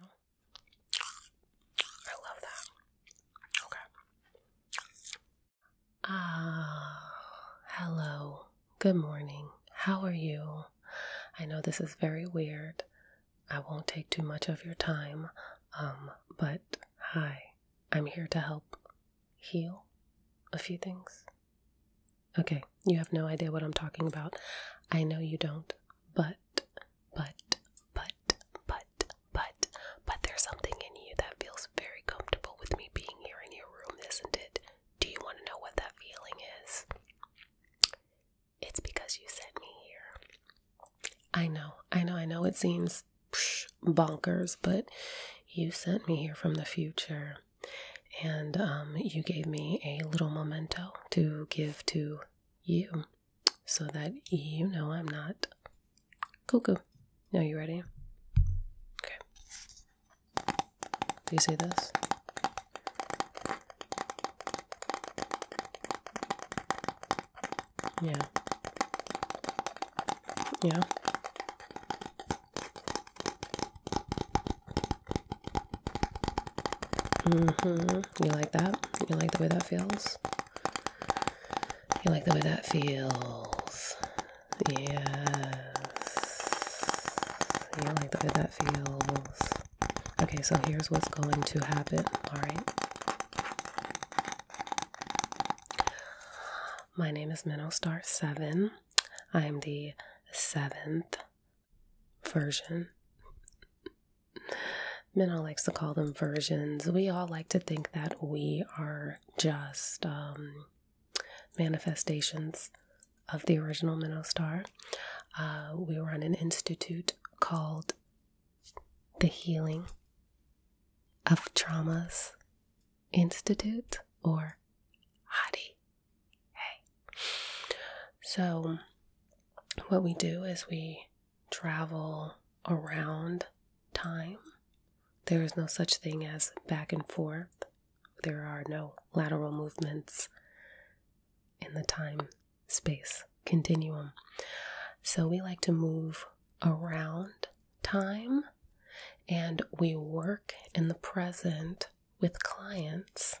I love that. Okay. Ah, hello. Good morning. How are you? I know this is very weird. I won't take too much of your time. Um, but hi. I'm here to help heal a few things. Okay, you have no idea what I'm talking about. I know you don't, but but, but, but, but, but there's something in you that feels very comfortable with me being here in your room, isn't it? Do you want to know what that feeling is? It's because you sent me here. I know, I know, I know it seems bonkers, but you sent me here from the future. And um, you gave me a little memento to give to you so that you know I'm not cuckoo. Now, you ready? Okay. Do you see this? Yeah. Yeah. Mm-hmm. You like that? You like the way that feels? You like the way that feels? Yes. You like the way that feels? Okay, so here's what's going to happen, alright? My name is Minnow Star 7. I am the seventh version. Minna likes to call them versions. We all like to think that we are just um, manifestations of the original Minnow Star. Uh, we run an institute called the Healing of Traumas Institute, or HADI hey. So, what we do is we travel around time. There is no such thing as back and forth. There are no lateral movements in the time space continuum. So we like to move around time and we work in the present with clients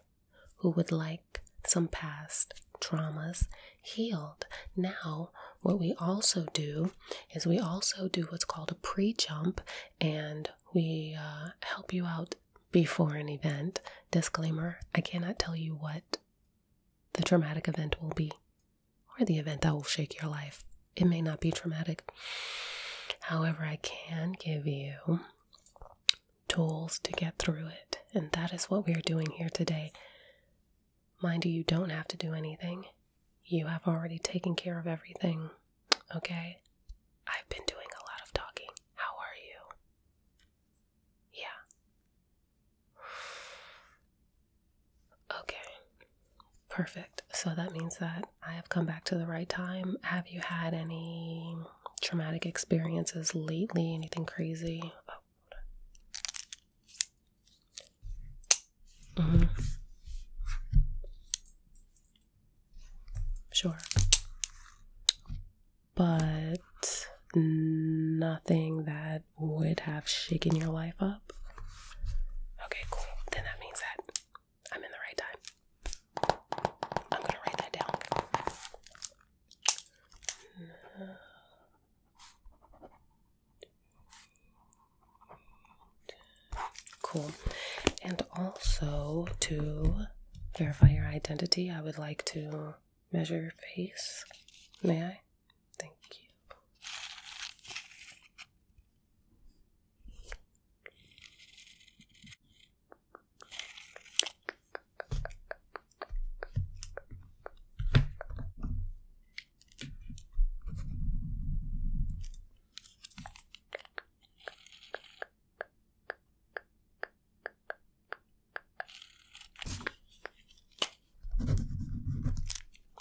who would like some past traumas healed. Now, what we also do is we also do what's called a pre jump and we uh, help you out before an event. Disclaimer I cannot tell you what the traumatic event will be or the event that will shake your life. It may not be traumatic. However, I can give you tools to get through it. And that is what we are doing here today. Mind you, you don't have to do anything. You have already taken care of everything, okay? I've been doing a lot of talking. How are you? Yeah. Okay. Perfect. So that means that I have come back to the right time. Have you had any traumatic experiences lately? Anything crazy? Mm-hmm. Sure. But nothing that would have shaken your life up. Okay, cool. Then that means that I'm in the right time. I'm gonna write that down. Cool. And also to verify your identity, I would like to measure your face. May I? Thank you.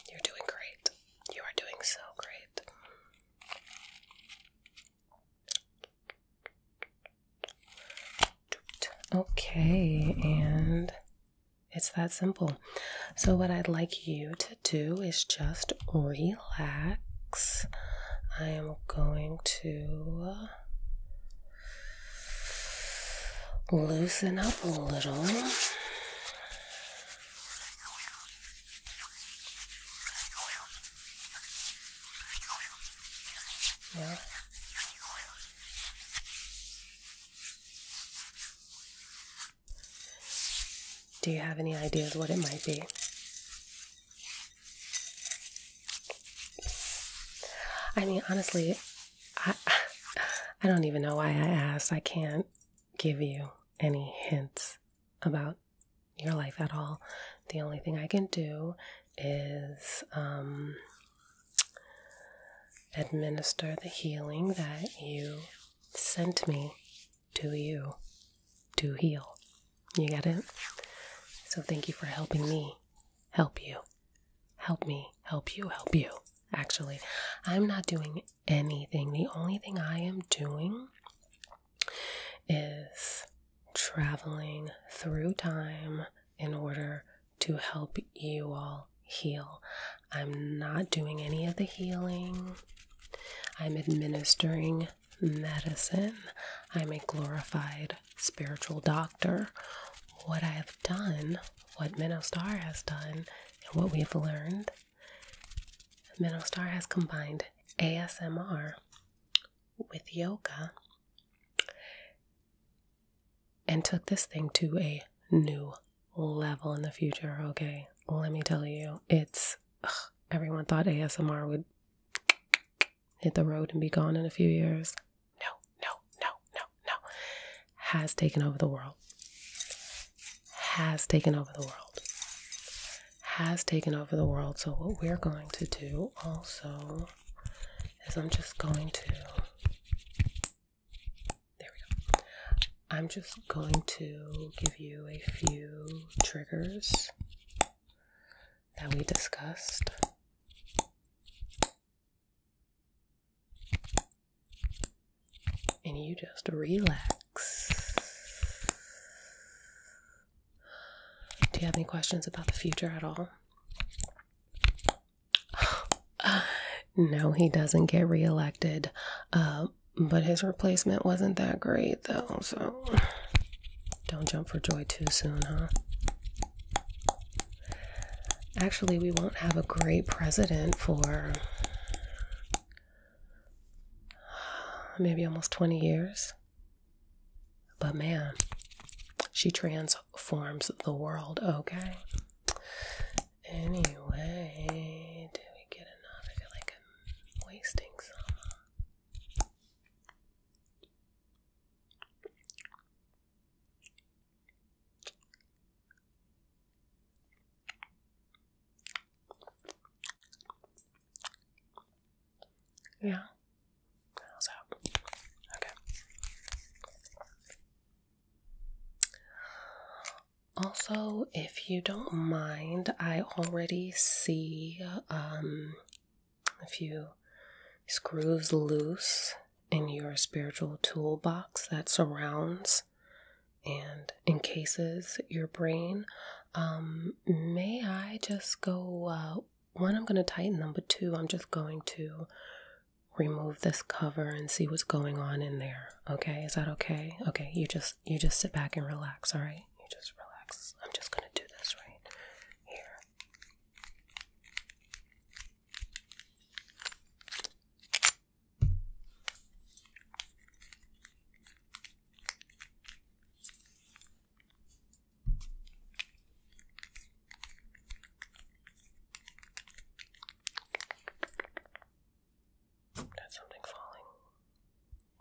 You're doing great. You are doing so great. Okay, and it's that simple. So, what I'd like you to do is just relax. I am going to loosen up a little. Yeah. Do you have any ideas what it might be? I mean, honestly, I I don't even know why I asked. I can't give you any hints about your life at all. The only thing I can do is um, administer the healing that you sent me to you to heal. You get it? So thank you for helping me help you. Help me help you help you. Actually, I'm not doing anything. The only thing I am doing is traveling through time in order to help you all heal. I'm not doing any of the healing. I'm administering medicine. I'm a glorified spiritual doctor. What I have done, what Minostar has done, and what we have learned, Minostar has combined ASMR with yoga and took this thing to a new level in the future. Okay, let me tell you, it's everyone thought ASMR would hit the road and be gone in a few years. No, no, no, no, no. Has taken over the world. Has taken over the world has taken over the world. So, what we're going to do also is I'm just going to, there we go. I'm just going to give you a few triggers that we discussed. And you just relax. Do you have any questions about the future at all? no, he doesn't get reelected. Uh, but his replacement wasn't that great, though, so don't jump for joy too soon, huh? Actually, we won't have a great president for maybe almost 20 years. But man, she transforms the world, okay? Anyway, do we get enough? I feel like I'm wasting some. Yeah. How's Okay. Also, if you don't mind, I already see um, a few screws loose in your spiritual toolbox that surrounds and encases your brain. Um, may I just go? Uh, one, I'm going to tighten them, but two, I'm just going to remove this cover and see what's going on in there. Okay, is that okay? Okay, you just you just sit back and relax. All right, you just relax. I'm just going to do this right here. That's something falling,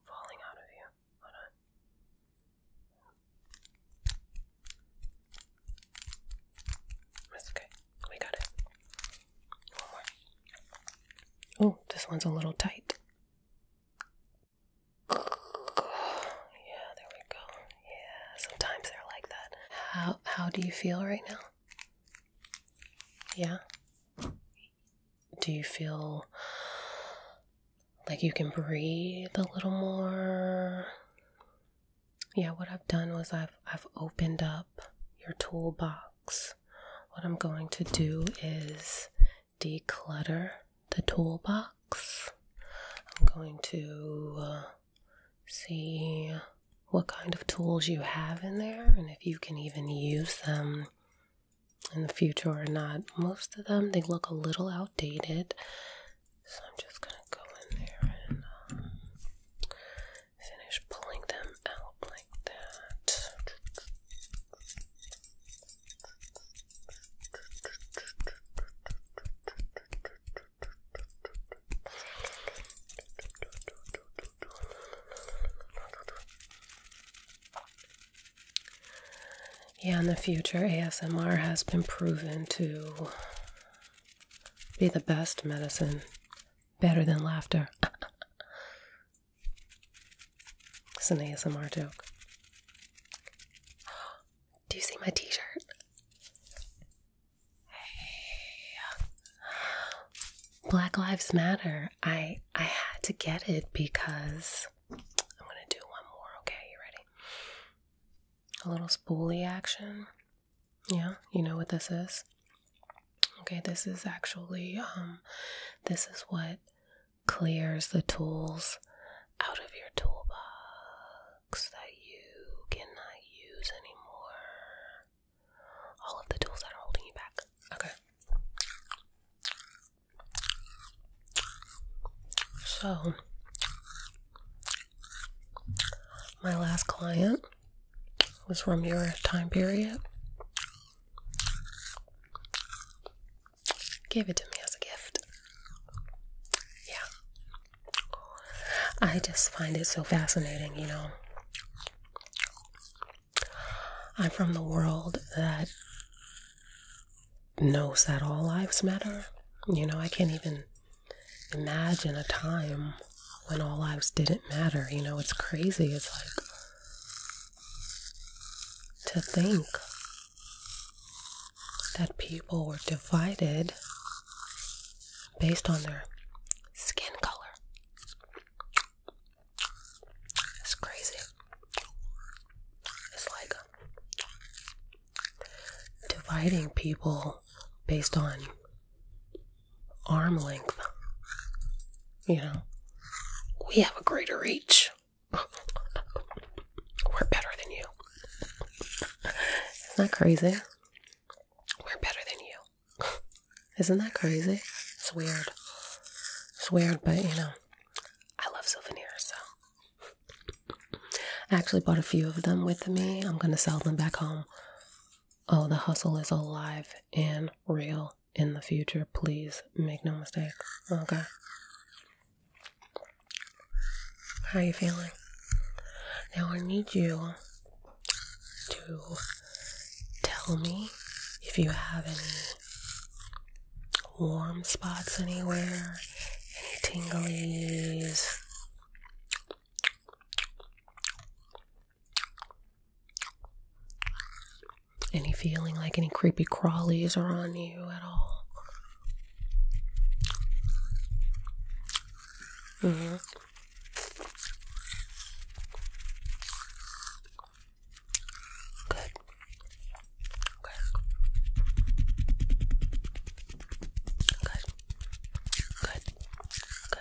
falling out of you. Hold on. okay. We got it. Oh, this one's a little tight. Yeah, there we go. Yeah, sometimes they're like that. How how do you feel right now? Yeah. Do you feel like you can breathe a little more? Yeah, what I've done was I've I've opened up your toolbox what I'm going to do is declutter the toolbox. I'm going to uh, see what kind of tools you have in there and if you can even use them in the future or not. Most of them, they look a little outdated. So I'm just going to go in there and um, finish pulling them out like that. Yeah, in the future, ASMR has been proven to be the best medicine, better than laughter. It's an ASMR joke. Do you see my t shirt? Hey. Black Lives Matter. I I had to get it because I'm gonna do one more, okay? You ready? A little spoolie action. Yeah, you know what this is? Okay, this is actually um, this is what clears the tools out of your toolbox that you cannot use anymore. All of the tools that are holding you back. Okay. So, my last client was from your time period. Gave it to me as a gift. Yeah. I just find it so fascinating, you know. I'm from the world that knows that all lives matter. You know, I can't even imagine a time when all lives didn't matter. You know, it's crazy. It's like to think that people were divided based on their skin color. It's crazy. It's like dividing people based on arm length. You know, we have a greater reach. We're better than you. Isn't that crazy? We're better than you. Isn't that crazy? It's weird. It's weird, but you know, I love souvenirs, so. I actually bought a few of them with me. I'm gonna sell them back home. Oh, the hustle is alive and real in the future. Please make no mistake. Okay. How are you feeling? Now I need you to tell me if you have any warm spots anywhere, any tingles. Any feeling like any creepy crawlies are on you at all? Mm hmm Good. Good. Good. Good. Good.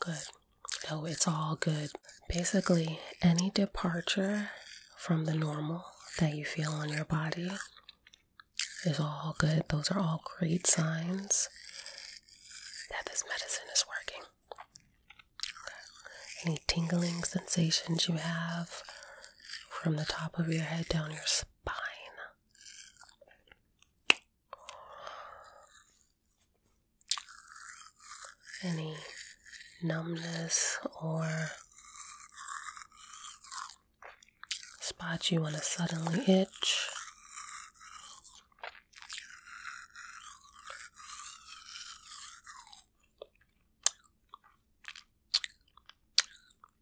Good. No, it's all good. Basically, any departure from the normal that you feel on your body is all good. Those are all great signs that this medicine is working. Any tingling sensations you have from the top of your head down your spine any numbness or spot you want to suddenly itch.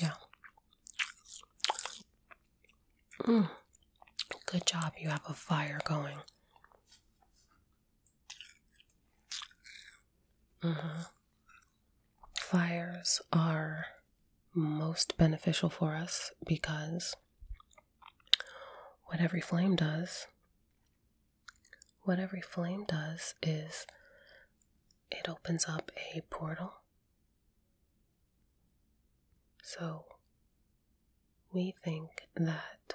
Yeah. Mm. Good job, you have a fire going. Mm-hmm. Fires are most beneficial for us because what every flame does, what every flame does is it opens up a portal. So we think that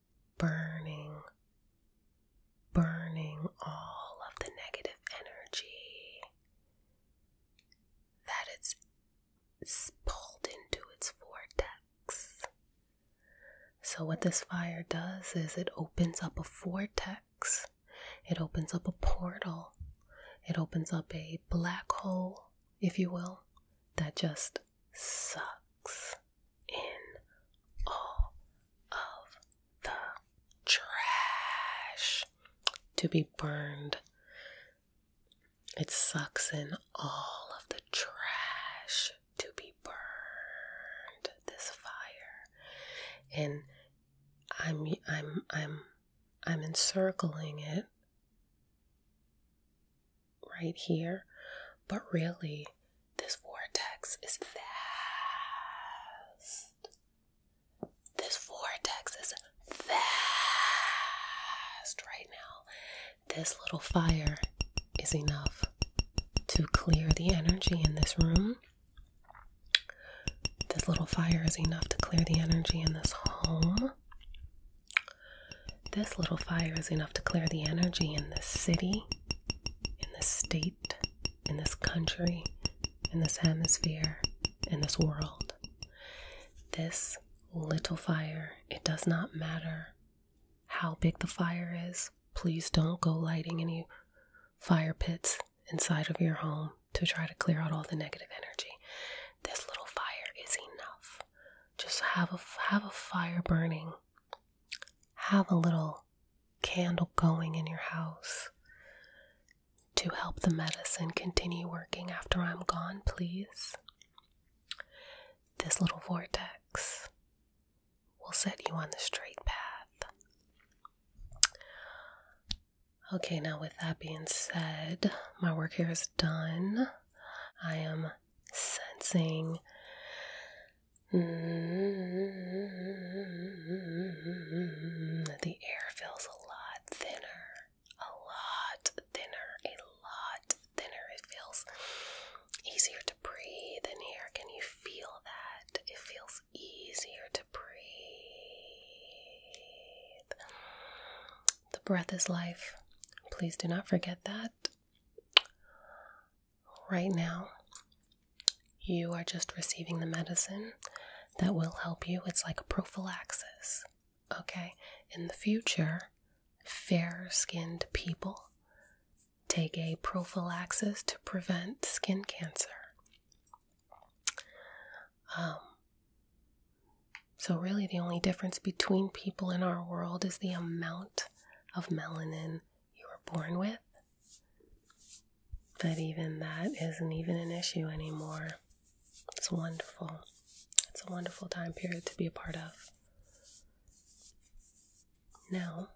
burning, burning all of the negative energy that it's pulled into its vortex. So, what this fire does is it opens up a vortex, it opens up a portal, it opens up a black hole, if you will, that just sucks in all of the trash to be burned. It sucks in all of the trash to be burned. This fire, and I'm I'm I'm I'm encircling it right here, but really, this vortex is fast. This vortex is fast right now. This little fire is enough to clear the energy in this room. This little fire is enough to clear the energy in this home. This little fire is enough to clear the energy in this city, in this state, in this country, in this hemisphere, in this world. This little fire, it does not matter how big the fire is. Please don't go lighting any fire pits inside of your home to try to clear out all the negative energy. This little fire is enough just have a have a fire burning. Have a little candle going in your house to help the medicine continue working after I'm gone, please. This little vortex will set you on the straight path. Okay, now with that being said, my work here is done. I am sensing mm-hmm. the air feels a lot thinner, a lot thinner, a lot thinner. It feels easier to breathe in here. Can you feel that? It feels easier to breathe. The breath is life. Please do not forget that. Right now, you are just receiving the medicine that will help you. It's like a prophylaxis. Okay? In the future, fair skinned people take a prophylaxis to prevent skin cancer. Um, so, really, the only difference between people in our world is the amount of melanin you were born with. But even that isn't even an issue anymore. It's wonderful. It's a wonderful time period to be a part of. Now,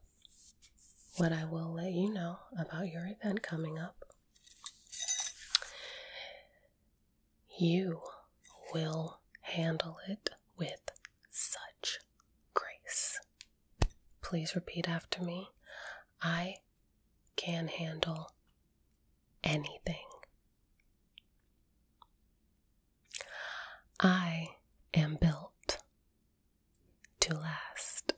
what I will let you know about your event coming up you will handle it with such grace. Please repeat after me. I can handle anything. I am built to last.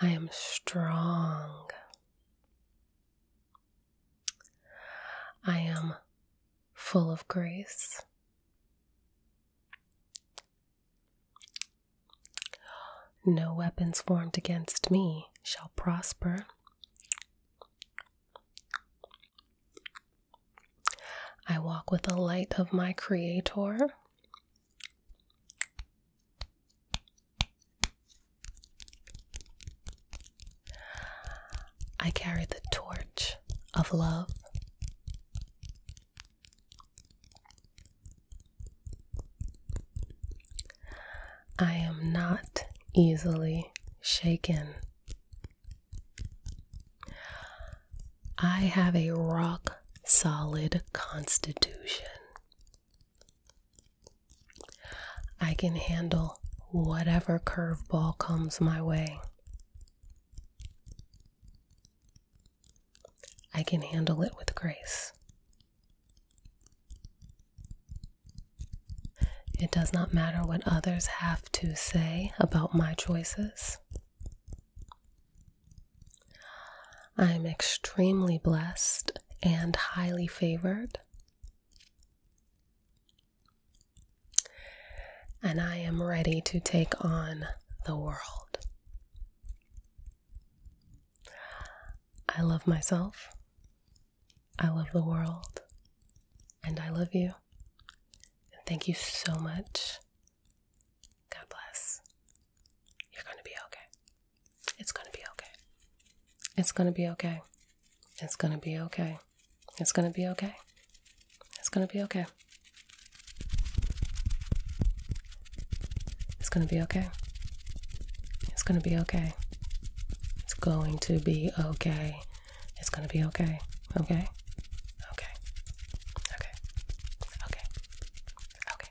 I am strong. I am full of grace. No weapons formed against me shall prosper. I walk with the light of my Creator. I carry the torch of love. I am not easily shaken. I have a rock solid constitution. I can handle whatever curveball comes my way. I can handle it with grace. It does not matter what others have to say about my choices. I am extremely blessed and highly favored. And I am ready to take on the world. I love myself. I love the world. And I love you. And thank you so much. God bless. You're going to be okay. It's gonna be okay. It's gonna be okay. It's gonna be okay. It's gonna be okay. It's gonna be okay. It's gonna be okay. It's gonna be okay. It's going to be okay. It's gonna be okay. Okay? Okay. Okay. Okay. Okay.